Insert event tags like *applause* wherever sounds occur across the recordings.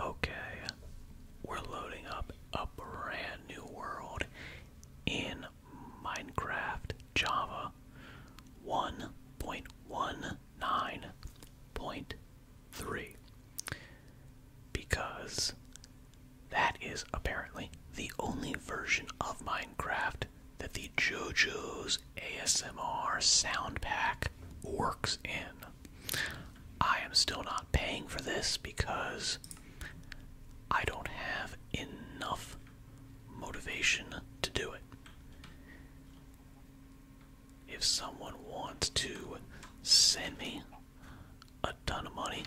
Okay, we're loading up a brand new world in Minecraft Java 1.19.3 because that is apparently the only version of Minecraft that the JoJo's ASMR sound pack works in. I am still not paying for this because I don't have enough motivation to do it. If someone wants to send me a ton of money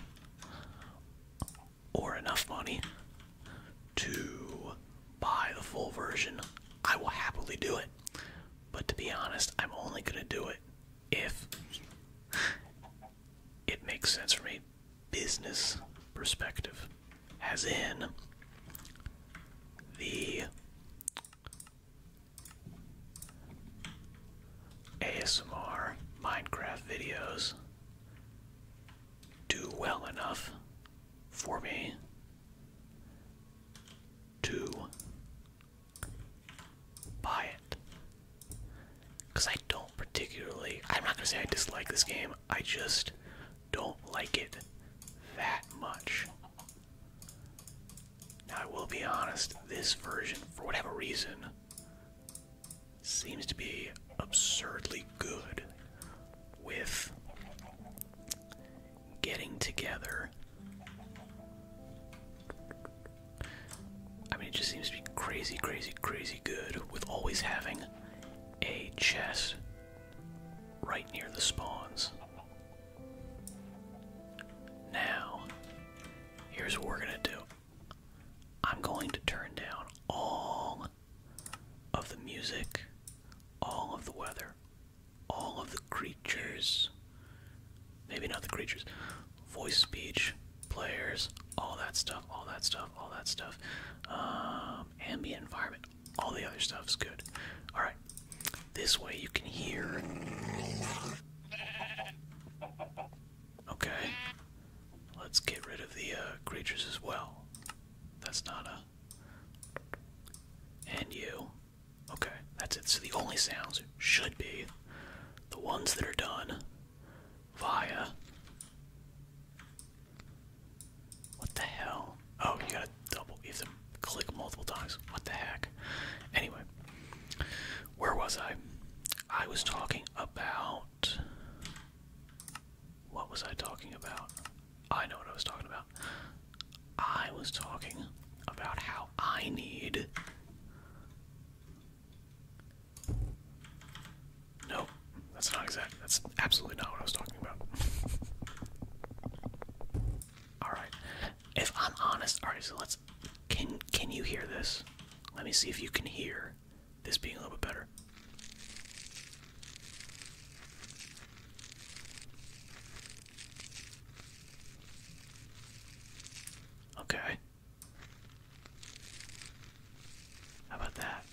or enough money to buy the full version, I will happily do it. But to be honest, I'm only gonna do it if it makes sense from a business perspective. As in, the ASMR Minecraft videos do well enough for me to buy it. Because I don't particularly, I'm not going to say I dislike this game, I just don't like it that much. Now, I will be honest, this version, for whatever reason, seems to be absurdly good with getting together. I mean, it just seems to be crazy, crazy, crazy good with always having a chest right near the spawns. Now, here's what we're gonna do I'm going to turn down all of the music, all of the weather, all of the creatures, maybe not the creatures, voice speech, players, all that stuff, all that stuff, all that stuff, um, ambient environment, all the other stuff is good. All right, this way you can hear. Okay, let's get rid of the uh, creatures as well. That's not a. And you. Okay, that's it. So the only sounds should be the ones that are done via. What the hell? Oh, you gotta double, you have click multiple times. What the heck? Anyway, where was I? I was talking about. What was I talking about? I know what I was talking about. I was talking about how I need. Nope, that's not exact. That's absolutely not what I was talking about. *laughs* Alright. If I'm honest, alright, so let's can can you hear this? Let me see if you can hear this being a little bit better. Okay. How about that?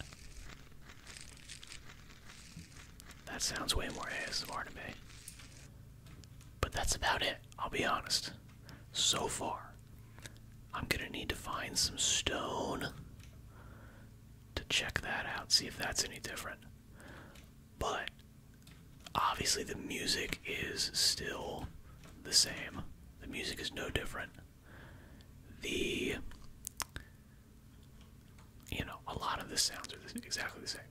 That sounds way more ASMR to me. But that's about it, I'll be honest. So far, I'm gonna need to find some stone to check that out, see if that's any different. But obviously, the music is still the same. The music is no different. The you know, a lot of the sounds are exactly the same.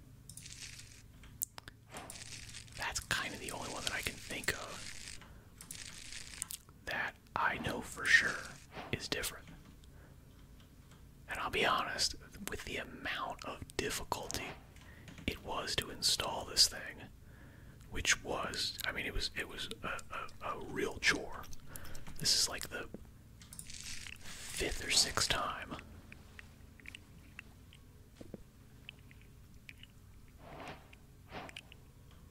That's kind of the only one that I can think of that I know for sure is different. And I'll be honest, with the amount of difficulty it was to install this thing, which was, I mean, it was it was a, real chore. This is like the fifth or sixth time.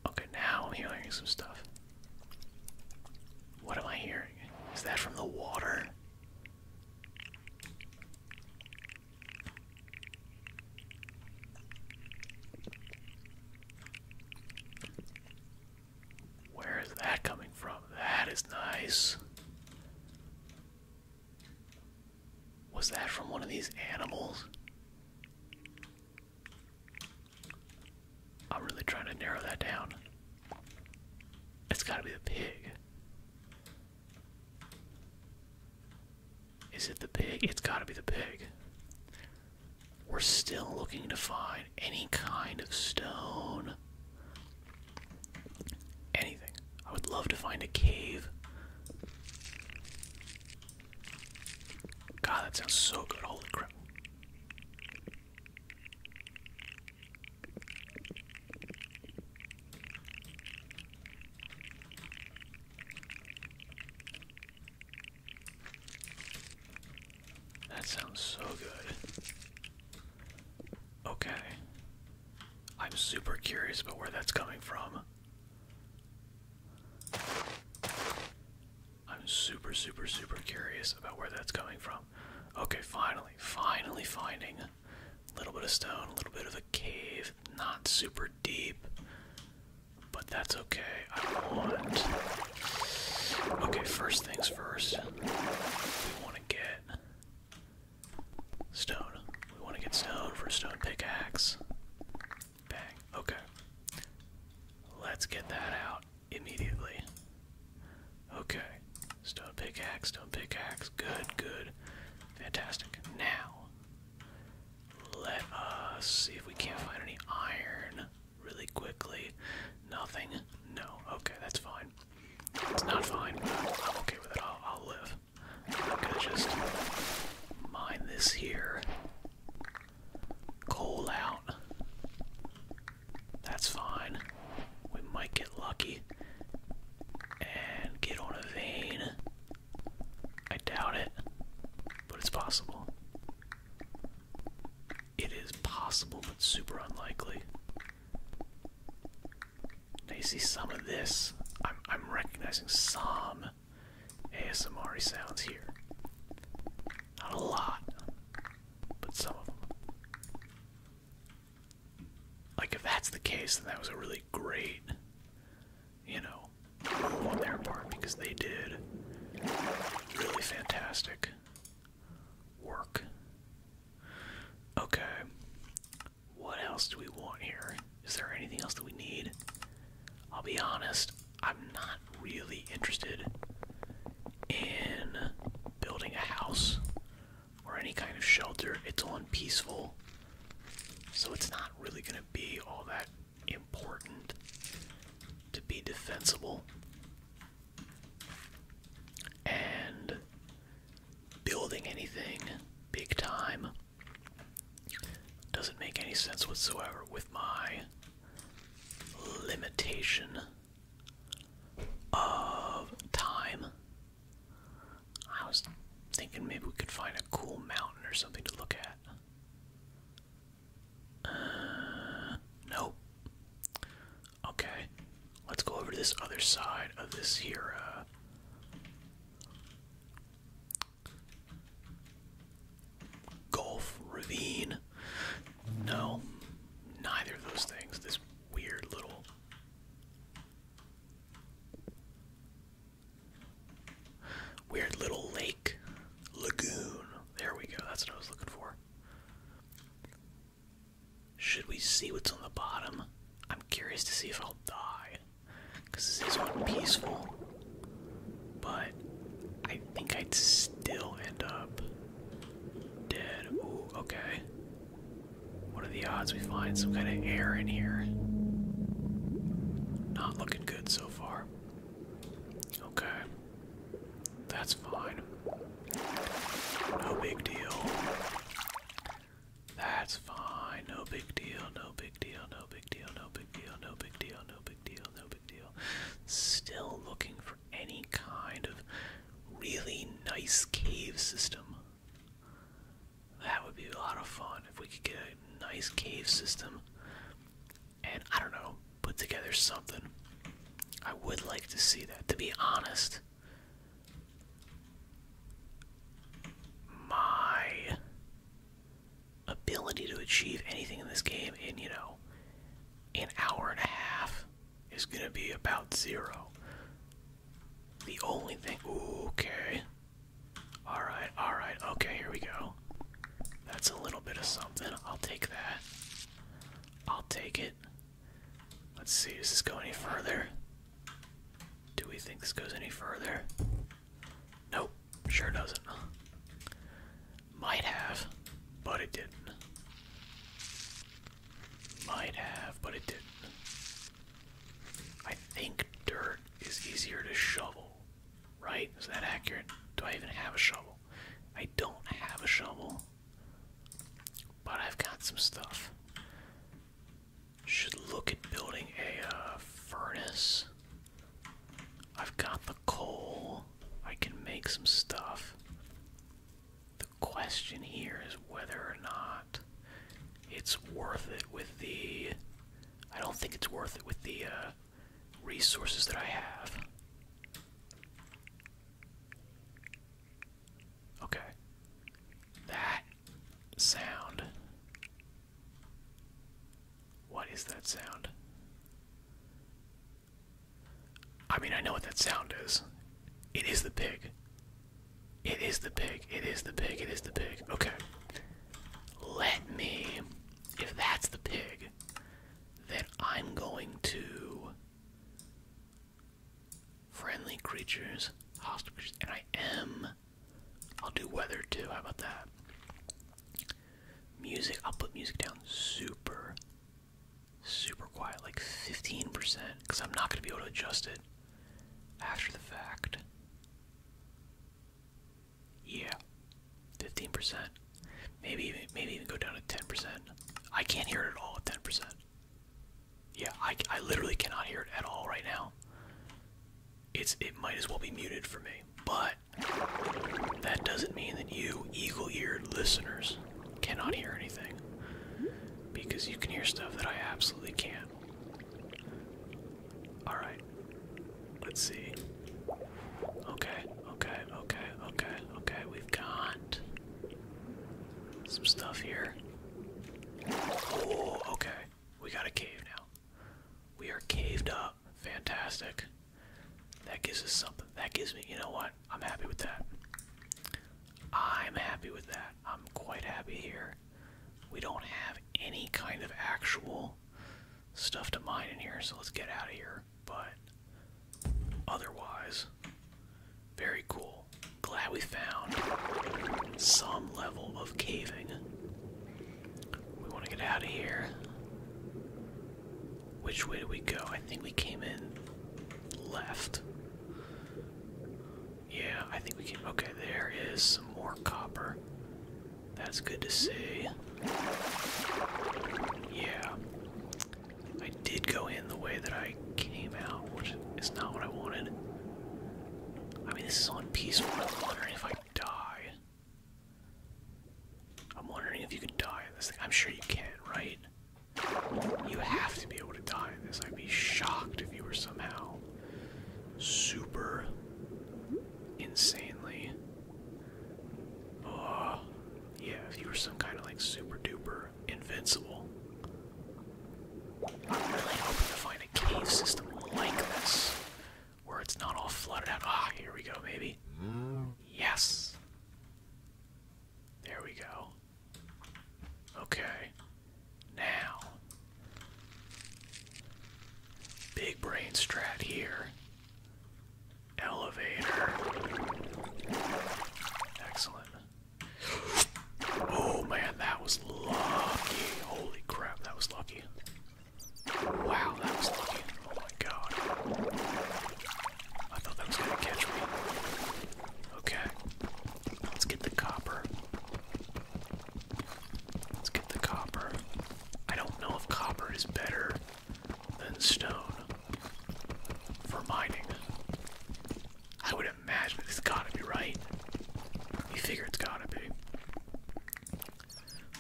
Okay, now I'm hearing some stuff. What am I hearing? Is that from the water? Where is that coming from? That is nice. Was that from one of these animals? I'm really trying to narrow that down. It's gotta be the pig. Is it the pig? It's gotta be the pig. We're still looking to find any kind of stone. Anything. I would love to find a cave. God, that sounds so good. Holy crap. That sounds so good. Okay. I'm super curious about where that's coming from. I'm super, super, super curious about where that's coming from. Okay, finally, finally finding a little bit of stone, a little bit of a cave. Not super deep, but that's okay. I want. Okay, first things first. We want to get stone. We want to get stone for a stone pickaxe. Bang. Okay. Let's get that out immediately. Okay. Stone pickaxe, stone pickaxe. Good, good. Fantastic. Now, let us see if we can't find any iron really quickly. Nothing? No. Okay, that's fine. It's not fine. I'm okay with it. I'll, live. I'm gonna just mine this here. Coal out. That's fine. We might get lucky and get on a vein. I doubt it, but it's possible. It is possible, but super unlikely. I see some of this. I'm, I'm recognizing some ASMR sounds here. Not a lot, but some of them. Like if that's the case, then that was a really great, you know, on their part because they did really fantastic work. Okay. What else do we want here? Is there anything else that we need? I'll be honest, I'm not really interested in building a house or any kind of shelter. It's on peaceful, so it's not really going to be all that important to be defensible. And building anything big time doesn't make any sense whatsoever with my limitation of time I was thinking maybe we could find a cool mountain or something to look at. Uh, nope. Okay, let's go over to this other side of this here. Uh, Gulf, ravine. No, neither of those things. This weird little Weird little lake. Lagoon. There we go. That's what I was looking for. Should we see what's on the bottom? I'm curious to see if I'll die. Because this is one peaceful. But I think I'd still end up dead. okay. What are the odds we find some kind of air in here? Not looking good so far. Okay. That's fine. No big deal. That's fine. No big deal. No big deal. No big deal. No big deal. No big deal. No big deal. No big deal. Still looking for any kind of really nice cave system. That would be a lot of fun if we could get a nice cave system and I don't know, put together something. I would like to see that. To be honest, my ability to achieve anything in this game in, you know, an hour and a half is going to be about zero. The only thing. okay. Alright, alright. Okay, here we go. That's a little bit of something. I'll take that. I'll take it. Let's see, does this go any further? Do we think this goes any further? Nope, sure doesn't. Might have, but it didn't. Might have, but it didn't. I think dirt is easier to shovel, right? Is that accurate? Do I even have a shovel? I don't have a shovel, but I've got some stuff. Should look at building a uh, furnace. I've got the coal. I can make some stuff. The question here is whether or not it's worth it with the. I don't think it's worth it with the uh, resources that I have. Okay. That sound. What is that sound? I mean, I know what that sound is. It is the pig. It is the pig. It is the pig. It is the pig. Okay. Let me. If that's the pig, then I'm going to. Friendly creatures, hostile creatures, and I am. I'll do weather too. How about that? Music. I'll put music down super super quiet, like 15%, because I'm not going to be able to adjust it after the fact. Yeah, 15%. Maybe even, maybe even go down to 10%. I can't hear it at all at 10%. Yeah, I, I literally cannot hear it at all right now. It's It might as well be muted for me, but that doesn't mean that you eagle-eared listeners cannot hear anything because you can hear stuff that I absolutely can't. Alright. Let's see. Okay, okay, okay, okay, okay. We've got some stuff here. Oh, okay. We got a cave now. We are caved up. Fantastic. That gives us something. That gives me, you know what? I'm happy with that. I'm happy with that. I'm quite happy here. We don't have any kind of actual stuff to mine in here, so let's get out of here. But otherwise, very cool. Glad we found some level of caving. We want to get out of here. Which way do we go? I think we came in left. Yeah, I think we can. Okay, there is some more copper. That's good to see. Yeah. I did go in the way that I came out, which is not what I wanted. I mean, this is on peaceful. I'm wondering if I die. I'm wondering if you can die this thing. I'm sure you can, right? You have to be able to die in this. I'd be shocked if you were somehow super insanely. Oh, yeah, if you were some kind of like super duper invincible. I'm really hoping to find a cave system like this where it's not all flooded out. Ah, here we go, maybe. Mm-hmm. Yes. There we go. Okay. Now. Big brain strat here. Elevator. Excellent. Oh man, that was lucky. Holy crap, that was lucky. Wow, that was lucky. Oh my god. I thought that was gonna catch me. Okay. Let's get the copper. Let's get the copper. I don't know if copper is better than stone for mining. I would imagine it's gotta be right. You figure it's gotta be.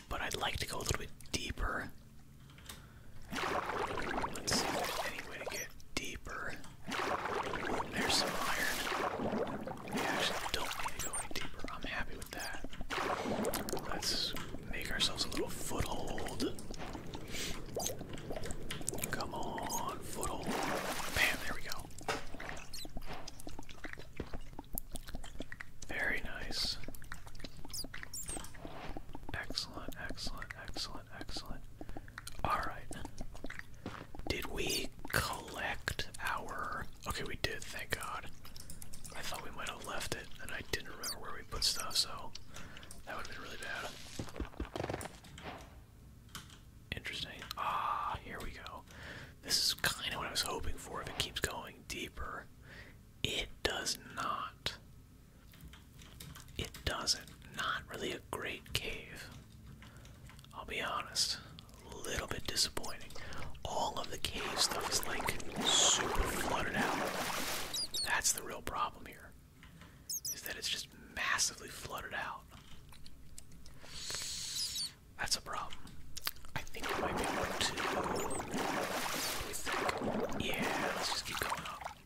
But I'd like to go a little bit deeper. Let's see if there's any way to get deeper. There's some iron. We actually don't need to go any deeper. I'm happy with that. Let's make ourselves a little foothold. Come on, foothold. Bam, there we go. Very nice. Excellent, excellent, excellent excellent, Alright. Did we collect our. Okay, we did, thank God. I thought we might have left it, and I didn't remember where we put stuff, so that would have been really bad. Interesting. Ah, here we go. This is kind of what I was hoping for if it keeps going deeper. It does not. It doesn't. Not really a great cave. I'll be honest. A little bit disappointing. All of the cave stuff is like super flooded out. That's the real problem here. Is that it's just massively flooded out. That's a problem. I think it might be one, two. What do Yeah, let's just keep going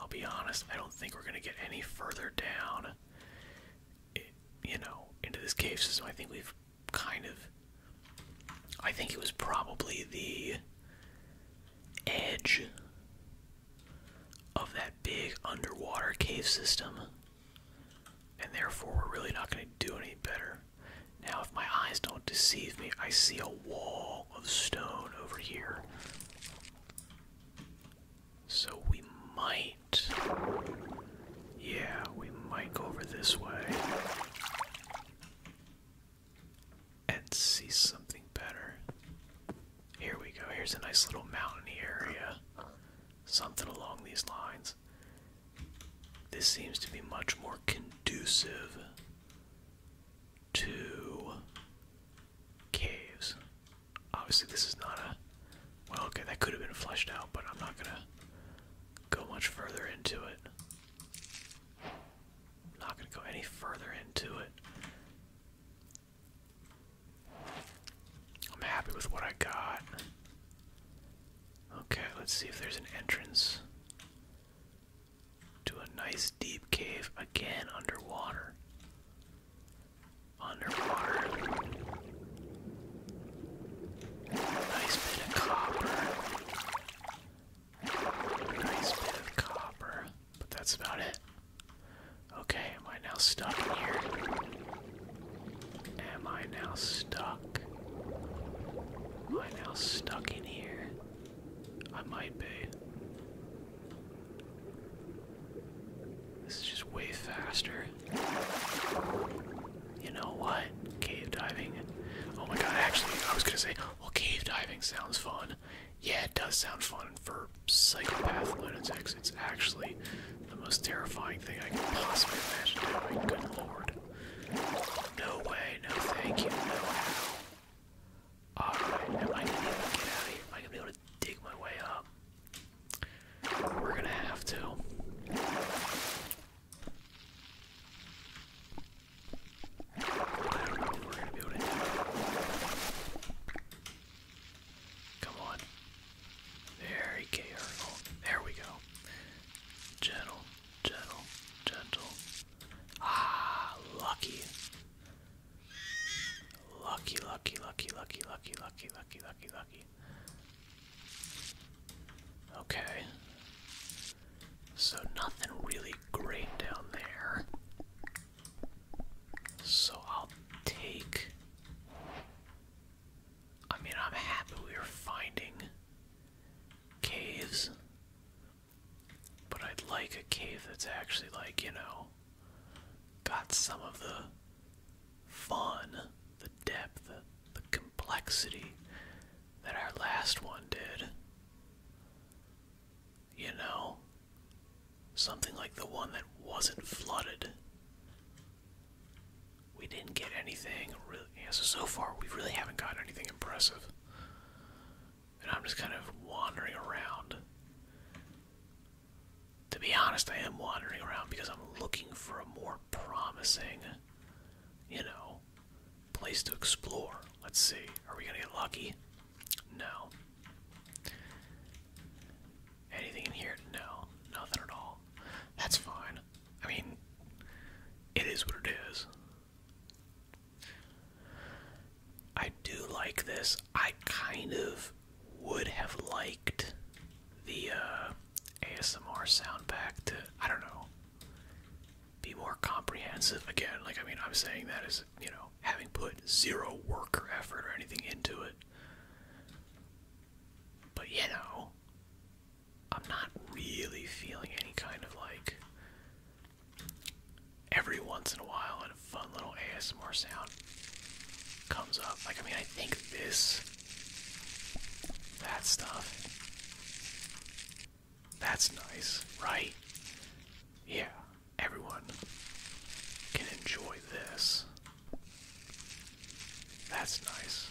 I'll be honest, I don't think we're gonna get any further down, you know, into this cave system. I think we've kind of. I think it was probably the edge of that big underwater cave system, and therefore we're really not gonna do any better. Now, if my eyes don't deceive me, I see a wall of stone over here. So we might. Yeah, we might go over this way and see something better. Here we go. Here's a nice little mountainy area. Something along these lines. This seems to be much more conducive to caves. Obviously, this is not a. Well, okay, that could have been fleshed out, but I'm not gonna go much further into it. not gonna go any further into it. I'm happy with what I got. Okay, let's see if there's an entrance to a nice deep cave again underwater underwater. Nice bit of copper. Nice bit of copper. But that's about it. Okay, am I now stuck in here? Am I now stuck? Am I now stuck in here? I might be. This is just way faster. You know what? Cave diving. Oh my god, actually, I was gonna say, well, cave diving sounds fun. Yeah, it does sound fun for psychopath lunatics. It's actually the most terrifying thing I can possibly imagine doing. Good lord. No way, no thank you, no how. Alright, am I gonna be able to get out of here? Am I gonna be able to dig my way up? We're gonna have to. I don't know if we're gonna be able to Come on. Very careful. There we go. Gentle, gentle, gentle. Ah, lucky. Lucky, lucky, lucky, lucky, lucky, lucky, lucky, lucky, lucky. Okay. So nothing really great down there. So I'll take. I mean, I'm happy we are finding caves. But I'd like a cave that's actually, like, you know, got some of the fun, the depth, the complexity that our last one did. You know? Something like the one that wasn't flooded. We didn't get anything really. Yeah, so, so far, we really haven't gotten anything impressive. And I'm just kind of wandering around to be honest, I am wandering around because I'm looking for a more promising, you know, place to explore. Let's see. Are we going to get lucky? No. Anything in here? No. Nothing at all. That's fine. I mean, it is what it is. I do like this. I kind of would have liked the uh, ASMR sound pack to, I don't know, be more comprehensive. Again, like, I mean, I'm saying that as, you know, having put zero work or effort or anything into it. But, you know, I'm not really feeling any kind of like every once in a while and a fun little ASMR sound comes up. Like, I mean, I think this, that stuff, that's nice, right? Yeah, everyone can enjoy this. That's nice.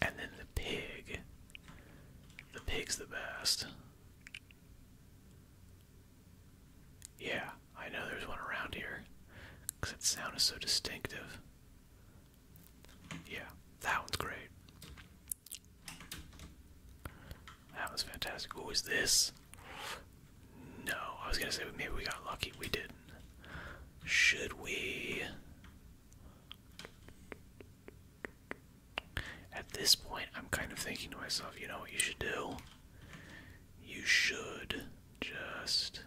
And then the pig. The pig's the best. Yeah, I know there's one around here. Because its sound is so distinctive. Yeah, that one's great. That was fantastic. What was this? No, I was gonna say maybe we got lucky. We didn't. Should we? At this point, I'm kind of thinking to myself, you know what you should do? You should just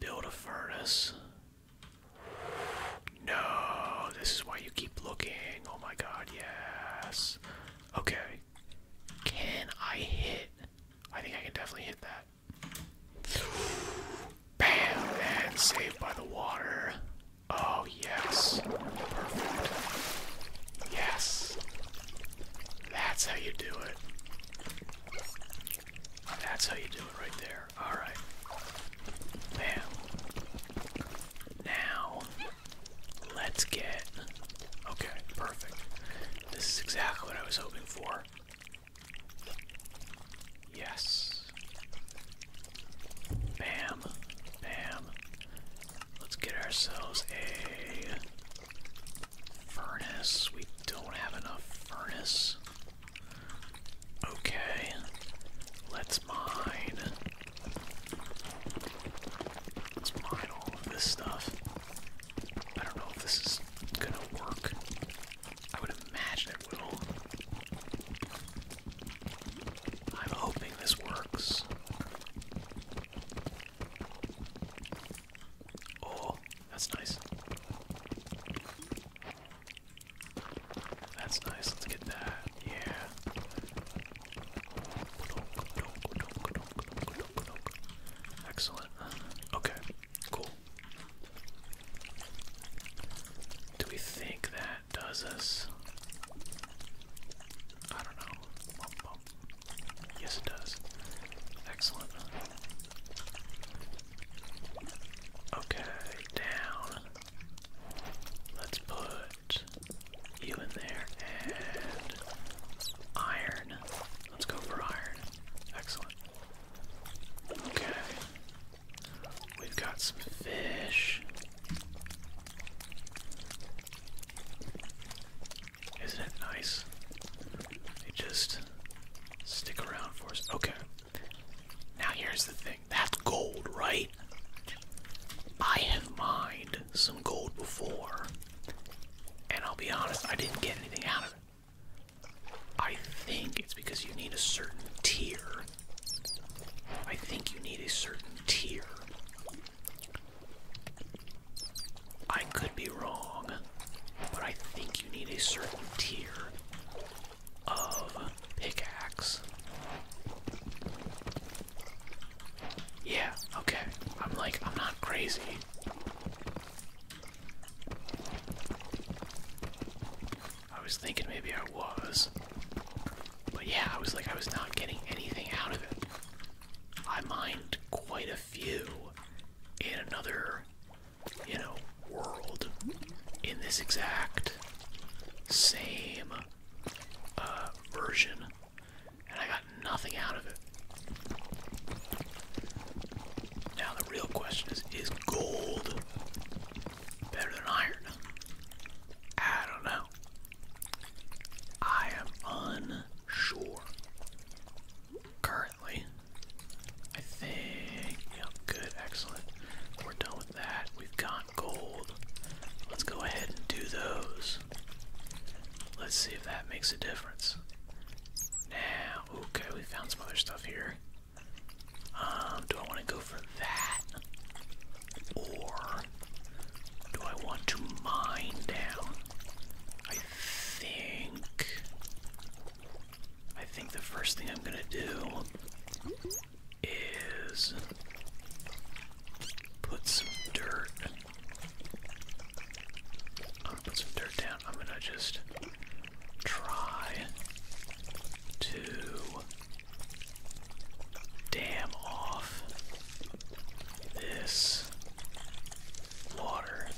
build a furnace. No, this is why you keep looking. Oh my god, yes. Okay. Can I hit? I think I can definitely hit that. Bam! And saved by the water. Oh, yes. Perfect. Yes. That's how you do it. That's how you do it right there. Alright. Bam. Now, let's get. Okay, perfect. This is exactly what I was hoping for. Yes. Bam. Bam. Let's get ourselves a furnace. We don't have enough furnace. Okay. Let's mine. Let's mine all of this stuff. I don't know if this is gonna work. I would imagine it will. I'm hoping this works. Oh, that's nice. That's nice. Let's get that. Yeah. Excellent. Okay, cool. Do we think that does us? I don't know. Yes, it does. Excellent. Okay, down. Let's put you in there and iron. Let's go for iron. Excellent. Okay. We've got some fish. Isn't it nice? just stick around for us. Okay. Now here's the thing. That's gold, right? I have mined some gold before. And I'll be honest, I didn't get anything out of it. I think it's because you need a certain tier. I think you need a certain tier. I could be wrong, but I think you need a certain tier of pickaxe. Yeah, okay. I'm like, I'm not crazy. I was thinking maybe I was. But yeah, I was like, I was not getting anything out of it. I mined quite a few in another, you know, world in this exact same uh, version, and I got nothing out of it. Now the real question is, is gold better than iron? I don't know. I am unsure. Currently, I think, good, excellent. We're done with that. We've got gold. Let's go ahead and do those. Let's see if that makes a difference. Now, Okay, we found some other stuff here. Um, do I want to go for that? Or do I want to mine down? I think I think the first thing I'm gonna do is put some dirt I'm gonna put some dirt down. I'm gonna just try to dam off this water.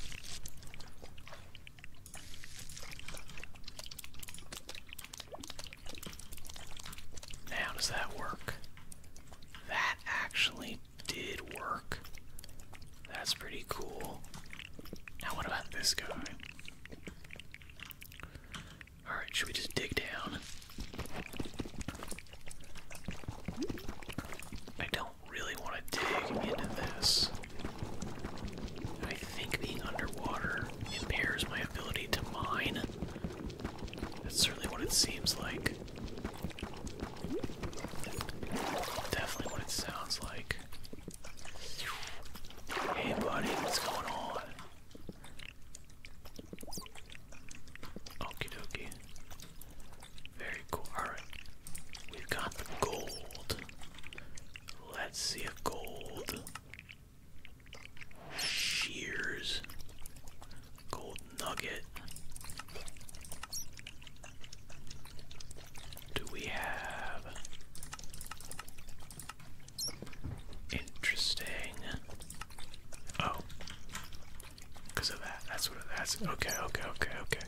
Now, does that work? That actually did work. That's pretty cool. Now, what about this guy? Alright, should we just dig down? I don't really want to dig into this. I think being underwater impairs my ability to mine. That's certainly what it seems like. Definitely what it sounds like. Hey, buddy, what's going on? Okie dokie. Very cool. Alright. We've got gold. Let's see if gold. Shears. Gold nugget do we have? Interesting. Oh. Because of that. That's what that's. Okay, okay, okay, okay.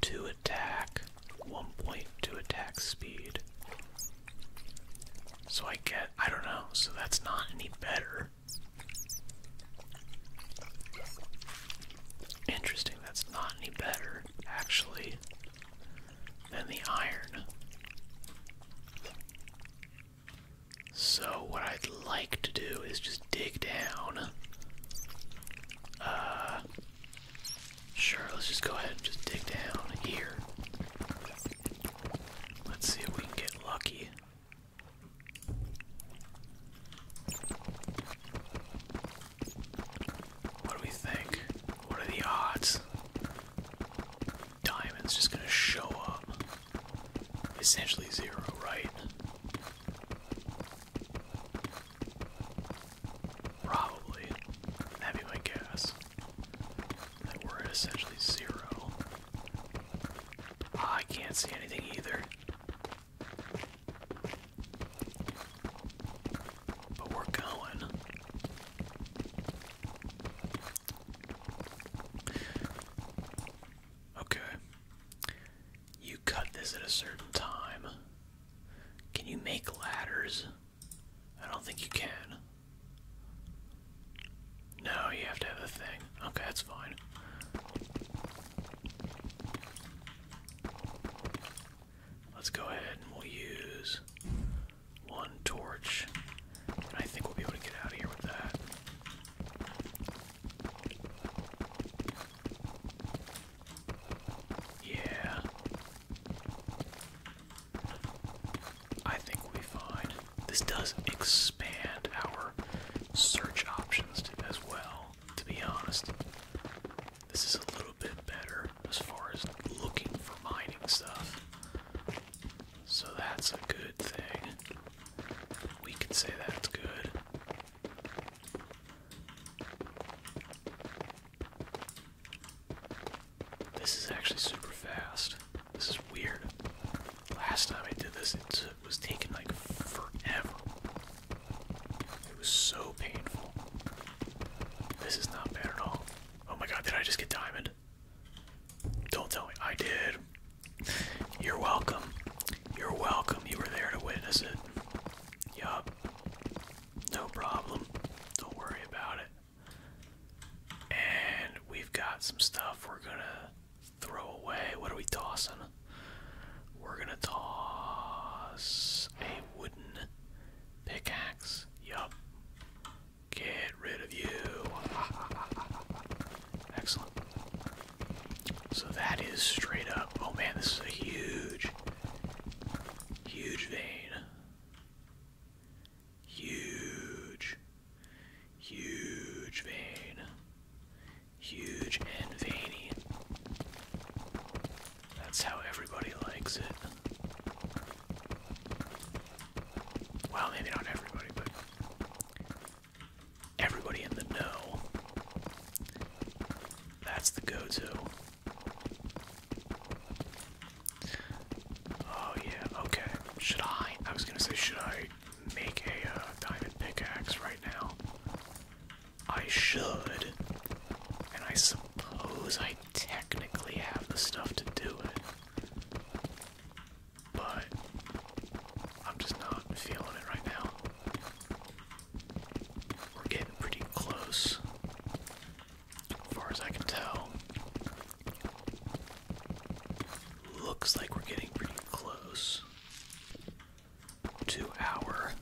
Two attack, 1.2 attack speed. So I get. I don't know. So that's not any better. Interesting, that's not any better, actually, than the iron. So, what I'd like to do is just dig down. Uh, sure, let's just go ahead and just dig down here. Let's see if we can get lucky. What do we think? What are the odds? Diamond's just gonna show up. Essentially zero, right? Probably. That'd be my guess. That we're at essentially zero. Ah, I can't see anything either. But we're going. Okay. You cut this at a certain time. Can you make ladders? I don't think you can. No, you have to have the thing. Okay, that's fine. Let's go ahead and we'll use one torch. I think we'll be able to get out of here with that. Yeah. I think we'll be fine. This does expand our search options as well to be honest. This is a little bit better as far as looking for mining stuff. So that's a good thing. We can say that's good. This is actually super fast. This is weird. Last time I did this, it took was taking like forever. It was so painful. This is not bad at all. Oh my god, did I just get diamond? Don't tell me. I did. You're welcome. You're welcome. You were there to witness it. Yup. No problem. Don't worry about it. And we've got some stuff we're gonna throw away. What are we tossing? We're gonna toss a wooden pickaxe. Yup. Get rid of you. *laughs* Excellent. So that is straight up. Oh man, this is a huge, huge vein. Huge, huge vein huge and veiny. That's how everybody likes it. Well, maybe not everybody, but everybody in the know. That's the go to. Oh, yeah, okay. Should I? I was gonna say, should I make a uh, diamond pickaxe right now? I should. And I suppose I technically have the stuff to do it. But I'm just not feeling it right now. We're getting pretty close. As far as I can tell. Looks like we're getting pretty close to our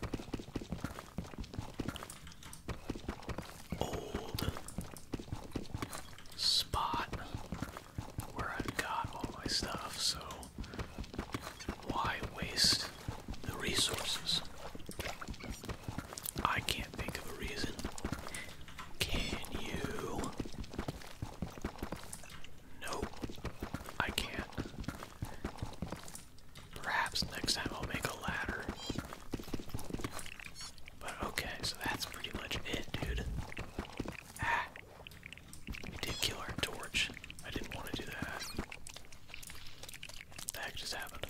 old spot where I've got all my stuff, so why waste the resources? I can't think of a reason. Can you? Nope. I can't. Perhaps next time I'll make a ladder. But okay, so that's pretty much it, dude. Ah. We did kill our torch. I didn't want to do that. the heck just happened?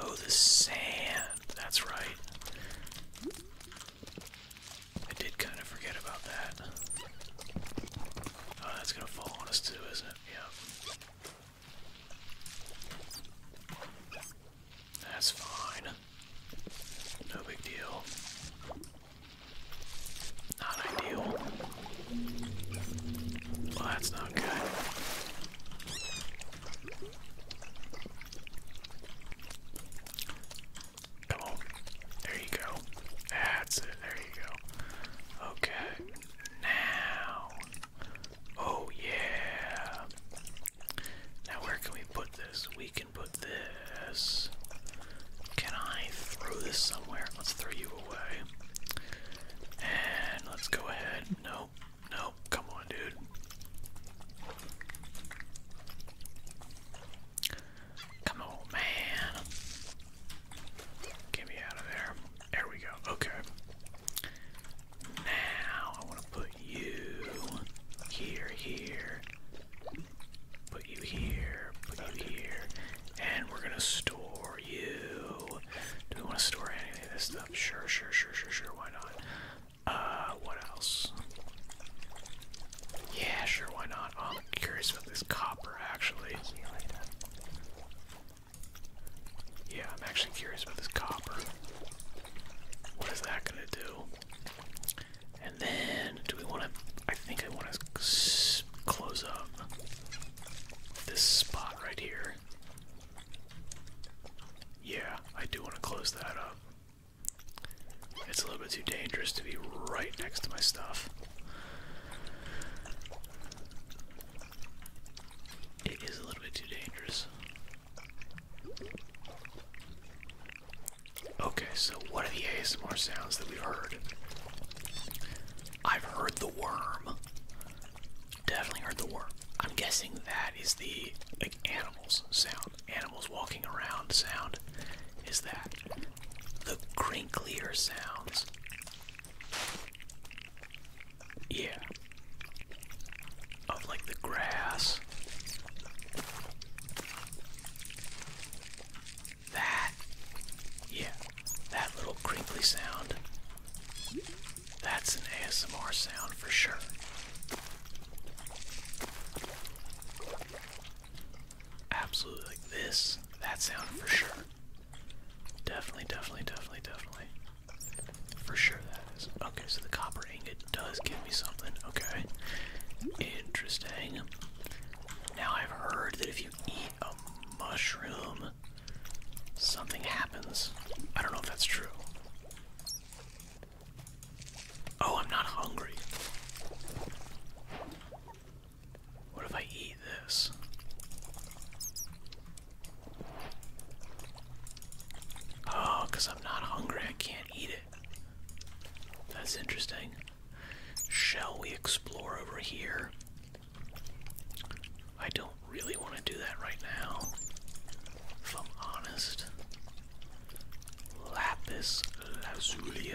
Oh, the sand. That's right. I did kind of forget about that. Oh, that's gonna fall on us too, isn't it? Yep. That's fine. No big deal. Not ideal. Well, that's not good. Come on. There you go. That's it. There you go. Okay. Now. Oh, yeah. Now, where can we put this? We can put this. Can I throw this somewhere? Let's throw you away. And let's go ahead. No. No, come on, dude. Come on, man. Get me out of there. There we go. Okay. Now I want to put you here, here. Put you here, put you here, and we're gonna store you. Do we want to store any of this stuff? Sure, sure, sure, sure, sure. Why not? Uh, what else? Yeah, sure, why not? Oh, I'm curious about this copper, actually. Yeah, I'm actually curious about this copper. What is that gonna do? And then, do we want to? I think I want to close up this spot right here. Yeah, I do want to close that up. It's a little bit too dangerous to be right next to my stuff. It is a little bit too dangerous. Okay, so what are the ASMR sounds that we've heard? I've heard the worm. Definitely heard the worm. I'm guessing that is the like animals sound animals walking around sound is that the crinklier sounds. Yeah. Of like the grass. That. Yeah. That little crinkly sound. That's an ASMR sound for sure. Absolutely like this. That sound for sure. Definitely, definitely, definitely, definitely. For sure that is. Okay, so the copper ingot does give me something. Okay. Interesting. Now I've heard that if you eat a mushroom, something happens. I don't know if that's true. Oh, I'm not hungry. What if I eat this? Oh, because I'm not hungry, I can't eat it. That's interesting. Shall we explore over here? I don't really want to do that right now, if I'm honest. Lapis lazuli.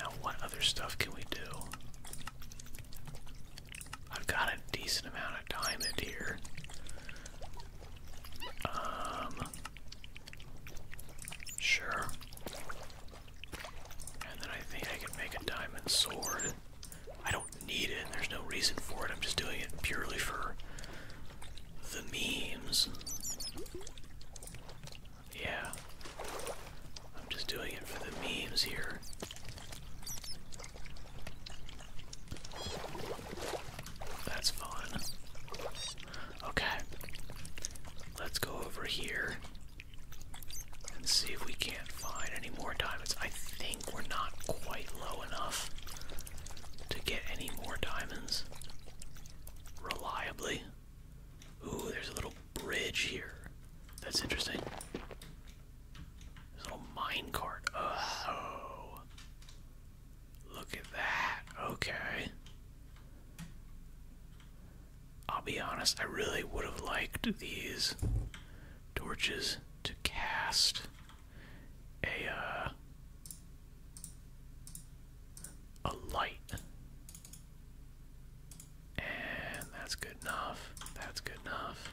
Now, what other stuff can we do? I've got a decent amount of diamond here. Um, sure. And then I think I can make a diamond sword. I need it. There's no reason for it. I'm just doing it purely for the memes. Yeah. I'm just doing it for the memes here. That's fun. Okay. Let's go over here and see if we can't find any more diamonds. I think we're not quite low enough to get any more diamonds reliably. Ooh, there's a little bridge here. That's interesting. There's a little mine cart. Oh. Look at that. Okay. I'll be honest, I really would have liked these torches to cast a uh, a light. And that's good enough. That's good enough.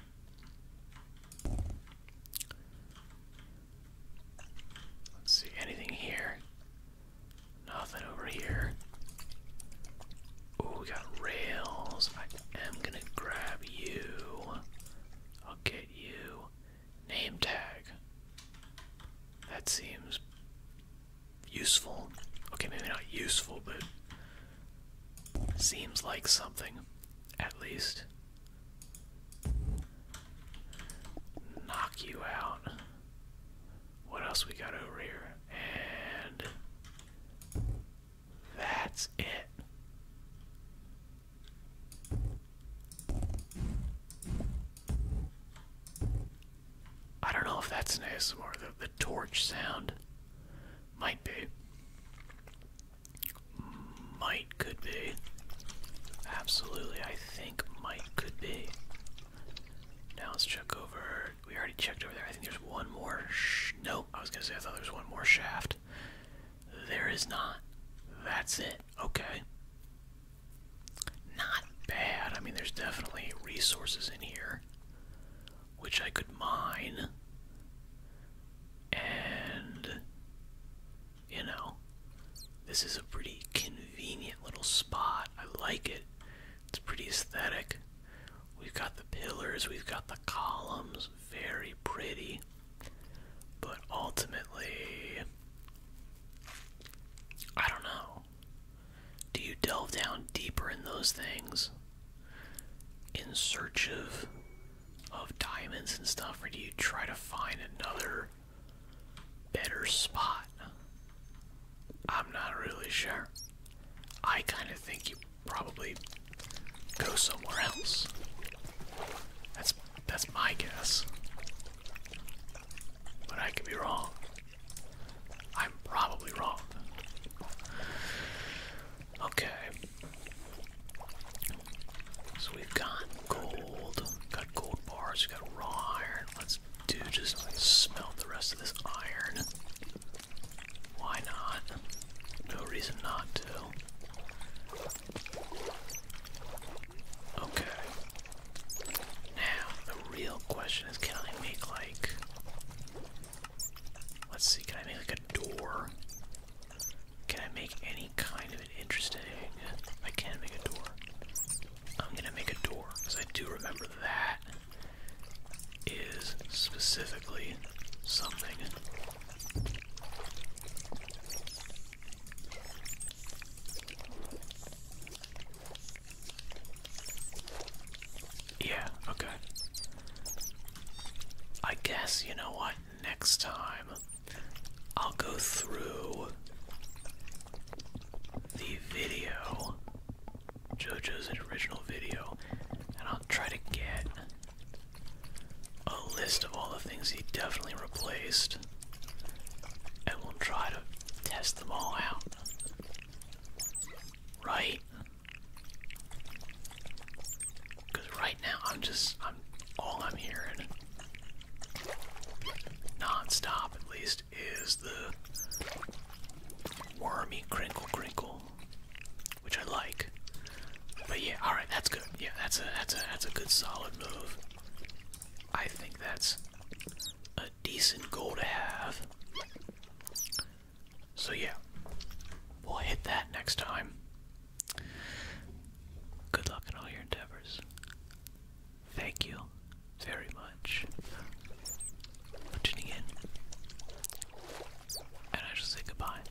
see, anything here? Nothing over here. Oh, we got rails. I am gonna grab you. I'll get you. Name tag. That seems useful. Okay, maybe not useful, but seems like something, at least. Knock you out. What else we got over here? And that's it. I don't know if that's an ASMR. The, the torch sound might be. Might could be. Absolutely, I think might could be. Now let's check over. We already checked over there. I think there's one more. Sh nope. I was gonna say I thought there was one more shaft. There is not. That's it. Okay. Not bad. I mean, there's definitely resources in here which I could mine. And, you know, this is a pretty convenient little spot. I like it. It's pretty aesthetic. We've got the pillars, we've got the columns. Very pretty. But ultimately, I don't know. Do you delve down deeper in those things in search of of diamonds and stuff, or do you try to find another better spot? I'm not really sure. I kind of think you probably go somewhere else. That's that's my guess. But I could be wrong. I'm probably wrong. Okay. So we've got gold, got gold bars, we got raw iron. Let's do just smelt the rest of this iron. Why not? No reason not to. Okay. Now, the real question is can I make like. Let's see, can I make like a door? Can I make any kind of an interesting. I can make a door. I'm gonna make a door, because I do remember that is specifically something yeah, okay. I guess, you know what, next time I'll go through the video, JoJo's original video, and I'll try to get a list of all the things he definitely replaced, and we'll try to test them all out. Right? Because right now I'm just, I'm all I'm hearing, nonstop at least, is the wormy crinkle crinkle which I like. But yeah, all right, that's good. Yeah, that's a that's a that's a good solid move. I think that's a decent goal to have. So yeah, we'll hit that next time. Good luck in all your endeavors. Thank you very much for tuning in, and I shall say goodbye